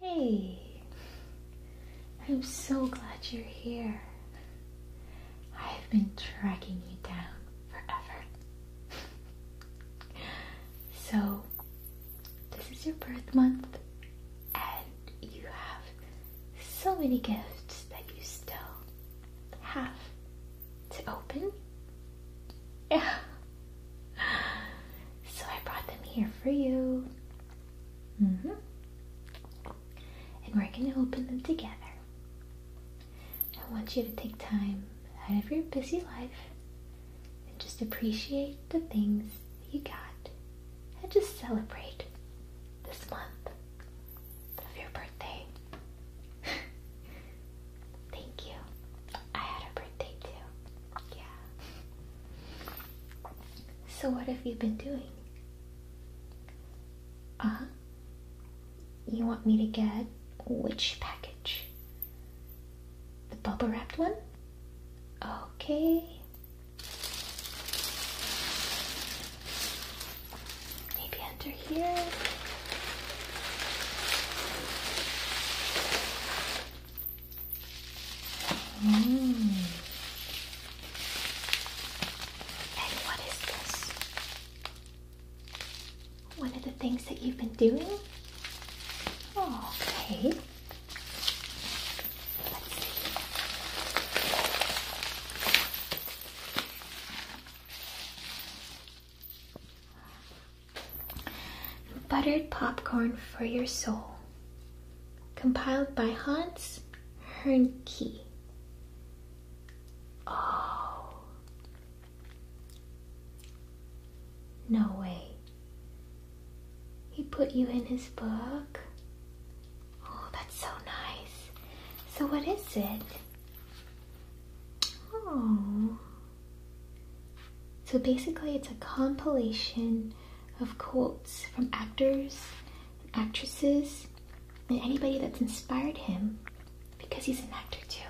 Hey, I'm so glad you're here. I've been tracking you down forever. so, this is your birth month, and you have so many gifts that you still have to open. Yeah. so I brought them here for you. Mm-hmm. And we're going to open them together. I want you to take time out of your busy life and just appreciate the things that you got and just celebrate this month of your birthday. Thank you. I had a birthday too. Yeah. So, what have you been doing? Uh You want me to get which package? The bubble wrapped one? Okay. Maybe under here. Mm. And what is this? One of the things that you've been doing? Oh, okay. Buttered popcorn for your soul compiled by Hans Hernke. Oh, no way. He put you in his book. Oh, that's so nice. So, what is it? Oh, so basically, it's a compilation of quotes from actors and actresses and anybody that's inspired him because he's an actor too.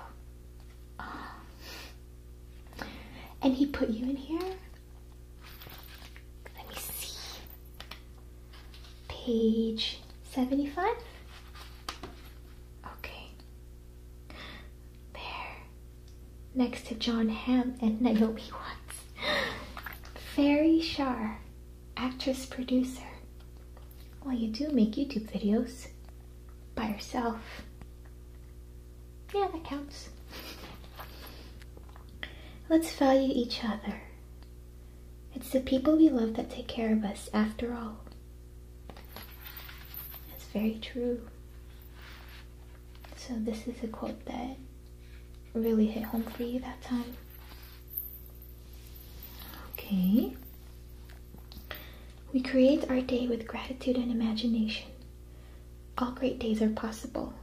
And he put you in here? Let me see. Page 75? Okay. There next to John Hamm and Naomi Watts. Fairy Shar, actress producer. Well, you do make YouTube videos by yourself. Yeah, that counts. Let's value each other. It's the people we love that take care of us, after all. That's very true. So, this is a quote that really hit home for you that time. Okay. We create our day with gratitude and imagination. All great days are possible.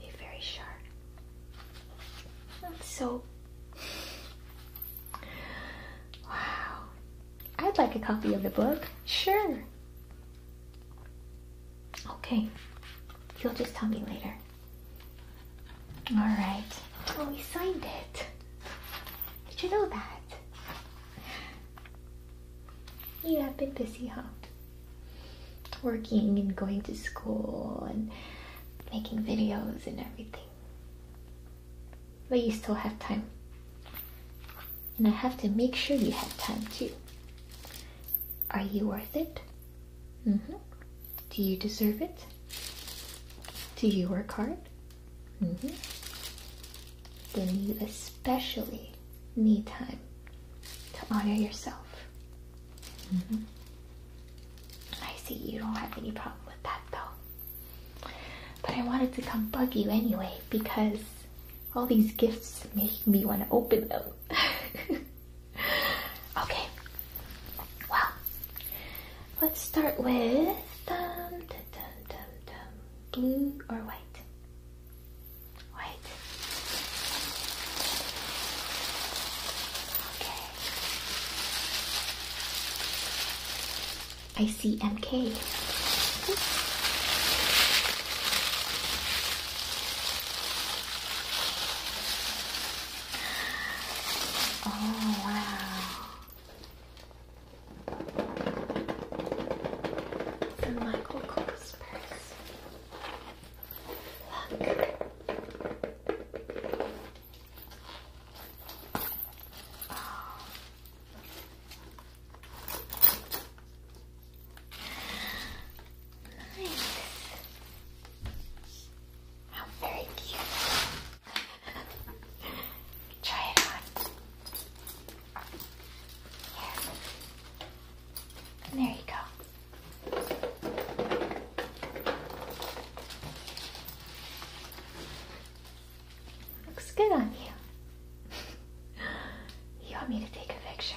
You're very sharp. That's so. Wow. I'd like a copy of the book. Sure. Okay, you'll just tell me later. All right. Oh, we signed it. Did you know that? You have been busy, huh? Working and going to school and making videos and everything. But you still have time and I have to make sure you have time too. Are you worth it? hmm. Do you deserve it? Do you work hard? hmm. Then you especially need time to honor yourself. hmm. I see you don't have any problem with that though. But I wanted to come bug you anyway because all these gifts make me want to open them. okay. Well, let's start with um, blue or white. White. Okay. I see MK. Oh, wow. The Michael Kors purse. Look. Oh. Nice. How very cute. Try it on. Yes. there you go. Looks good on you. you want me to take a picture?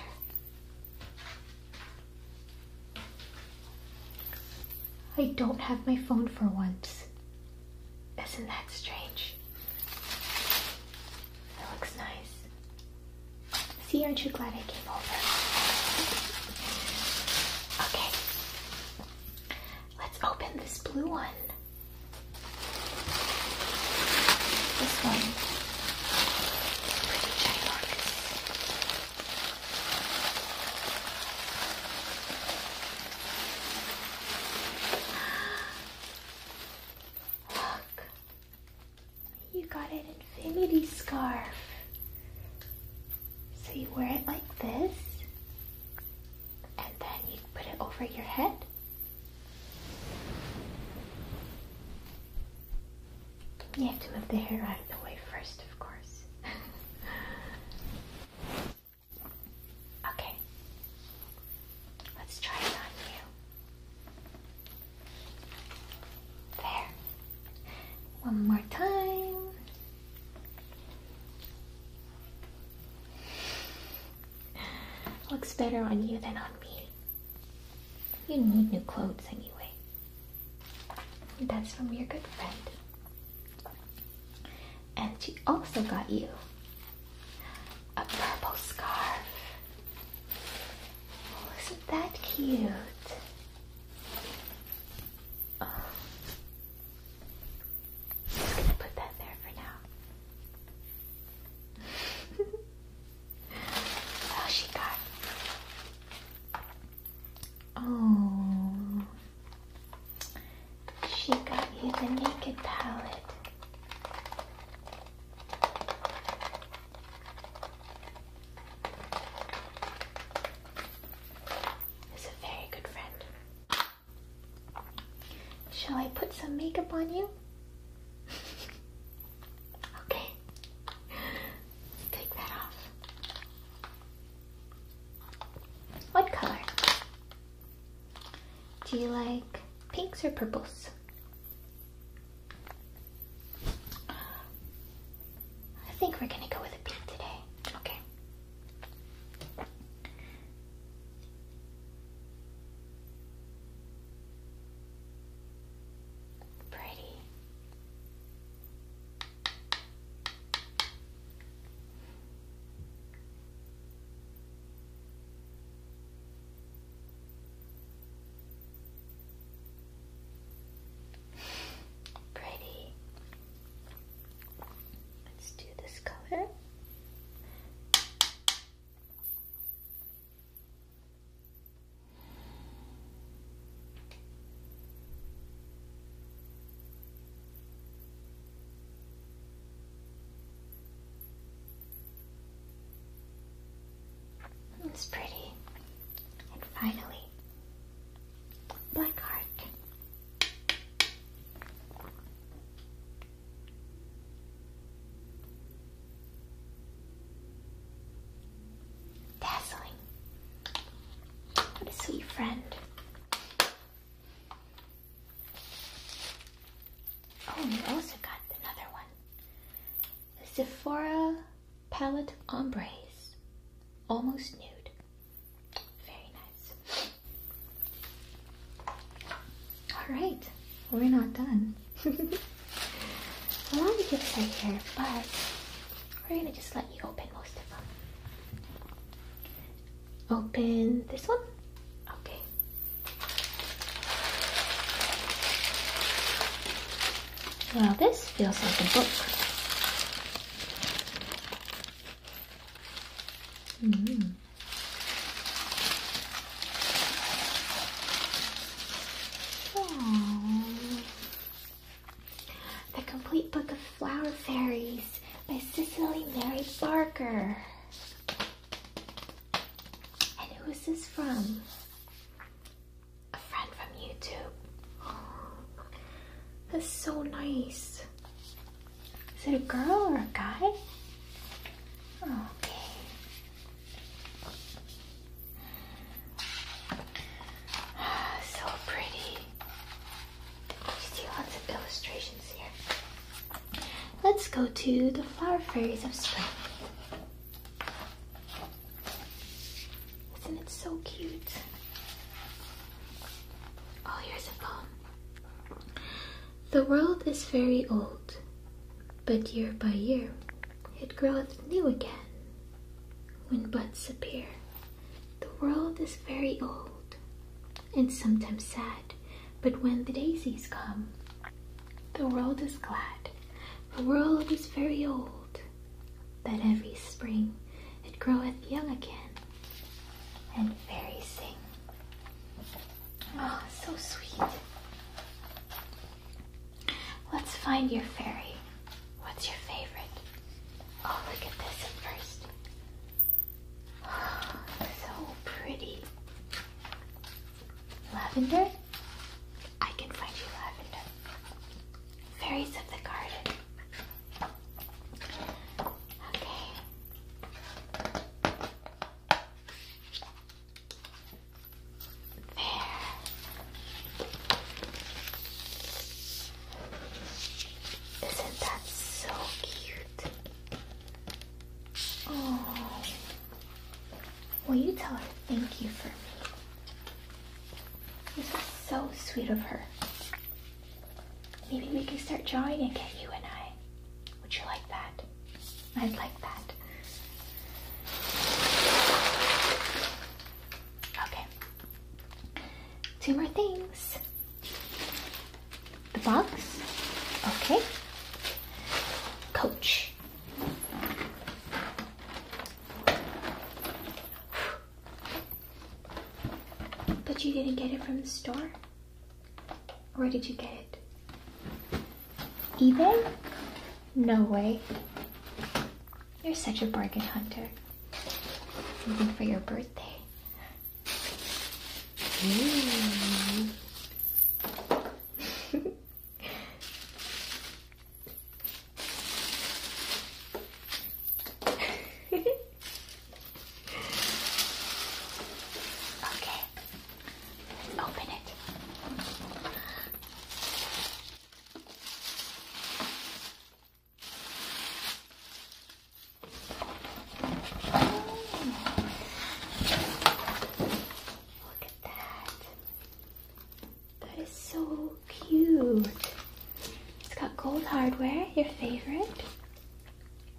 I don't have my phone for once. Isn't that strange? It looks nice. See, aren't you glad I came over? Okay. Let's open this blue one. This one Look, you got an infinity scarf. So you wear it like this, and then you put it over your head. You have to move the hair out of the way first, of course. okay, let's try it on you. There. One more time. Looks better on you than on me. You need new clothes anyway. That's from your good friend. And she also got you a purple scarf. Oh, isn't that cute? Oh. just gonna put that there for now. What oh, she got? Oh, she got you the naked palette. Is a very good friend. Shall I put some makeup on you? okay, take that off. What color? Do you like pinks or purples? I think we're gonna go with a pink today. Okay. Pretty. Pretty. Let's do this color. It's pretty. And finally, black heart. Dazzling. What a sweet friend. Oh, we also got another one. The Sephora Palette Ombres. Almost nude. Very nice. All right we're not done. a lot of gifts are here, but we're gonna just let you open most of them. Open this one. Okay. Well, this feels like a book. Mm. The Complete Book of Flower Fairies by Cicely Mary Barker. And who is this from? A friend from YouTube. that's so nice. Is it a girl or a guy? Okay so pretty. You see lots of illustrations here. Let's go to the flower fairies of spring. Isn't it so cute? Oh, here's a poem. The world is very old, but year by year it groweth new again. When buds appear, the world is very old and sometimes sad, but when the daisies come, the world is glad. The world is very old, that every spring it groweth young again, and fairies sing. Ah, oh, so sweet. Let's find your fairy. What's your favorite? Oh, look at this first. Oh, so pretty. Lavender? I can find you lavender. Fairies of the garden. Okay. There. Isn't that so cute? Oh. Will you tell her thank you for me? This is so sweet of her. Maybe we can start drawing and get you and I. Would you like that? I'd like that. Okay. Two more things. The box. Okay. Coach. But you didn't get it from the store? Where did you get it? eBay? No way. You're such a bargain hunter. Something for your birthday. okay. open it. Look at that. That is so cute. It's got gold hardware, your favorite,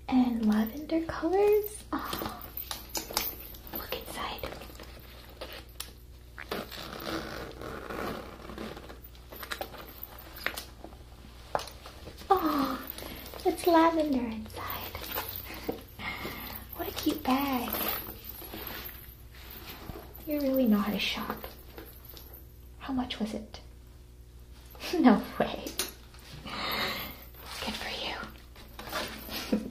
and lavender colors. Ah, look inside. Oh, it's lavender inside. what a cute bag. You really know how to shop. How much was it? no way. Good for you.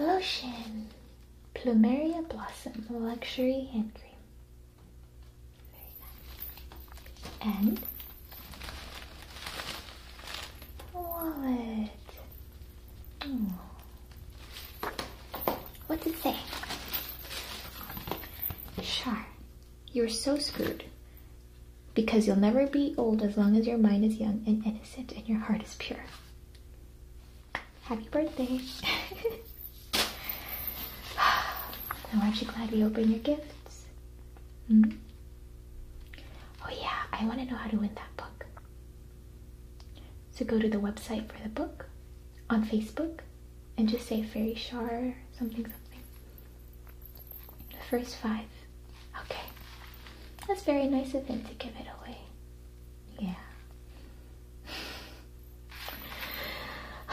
Lotion. Plumeria Blossom Luxury Hand Cream. And wallet. Hmm. What's it say? Char, you're so screwed. Because you'll never be old as long as your mind is young and innocent and your heart is pure. Happy birthday! now, aren't you glad we opened your gifts? Hmm? Oh, yeah, I want to know how to win that book. So go to the website for the book on Facebook and just say Fairy Shar something something. The first five. Okay. That's very nice of them to give it away. Yeah.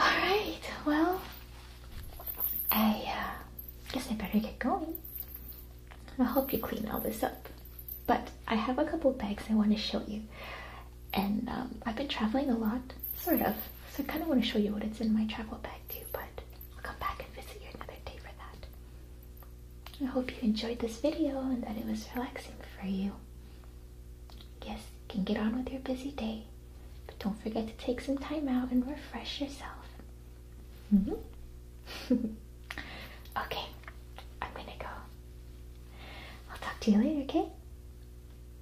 Alright, well, I uh, guess I better get going. I'll help you clean all this up. But I have a couple bags I want to show you. And um, I've been traveling a lot, sort of. So I kind of want to show you what it's in my travel bag too, but I'll come back and visit you another day for that. I hope you enjoyed this video and that it was relaxing for you. Yes, you can get on with your busy day, but don't forget to take some time out and refresh yourself. Mm-hmm. okay, I'm gonna go. I'll talk to you later, okay?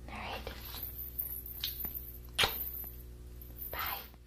Alright. Bye.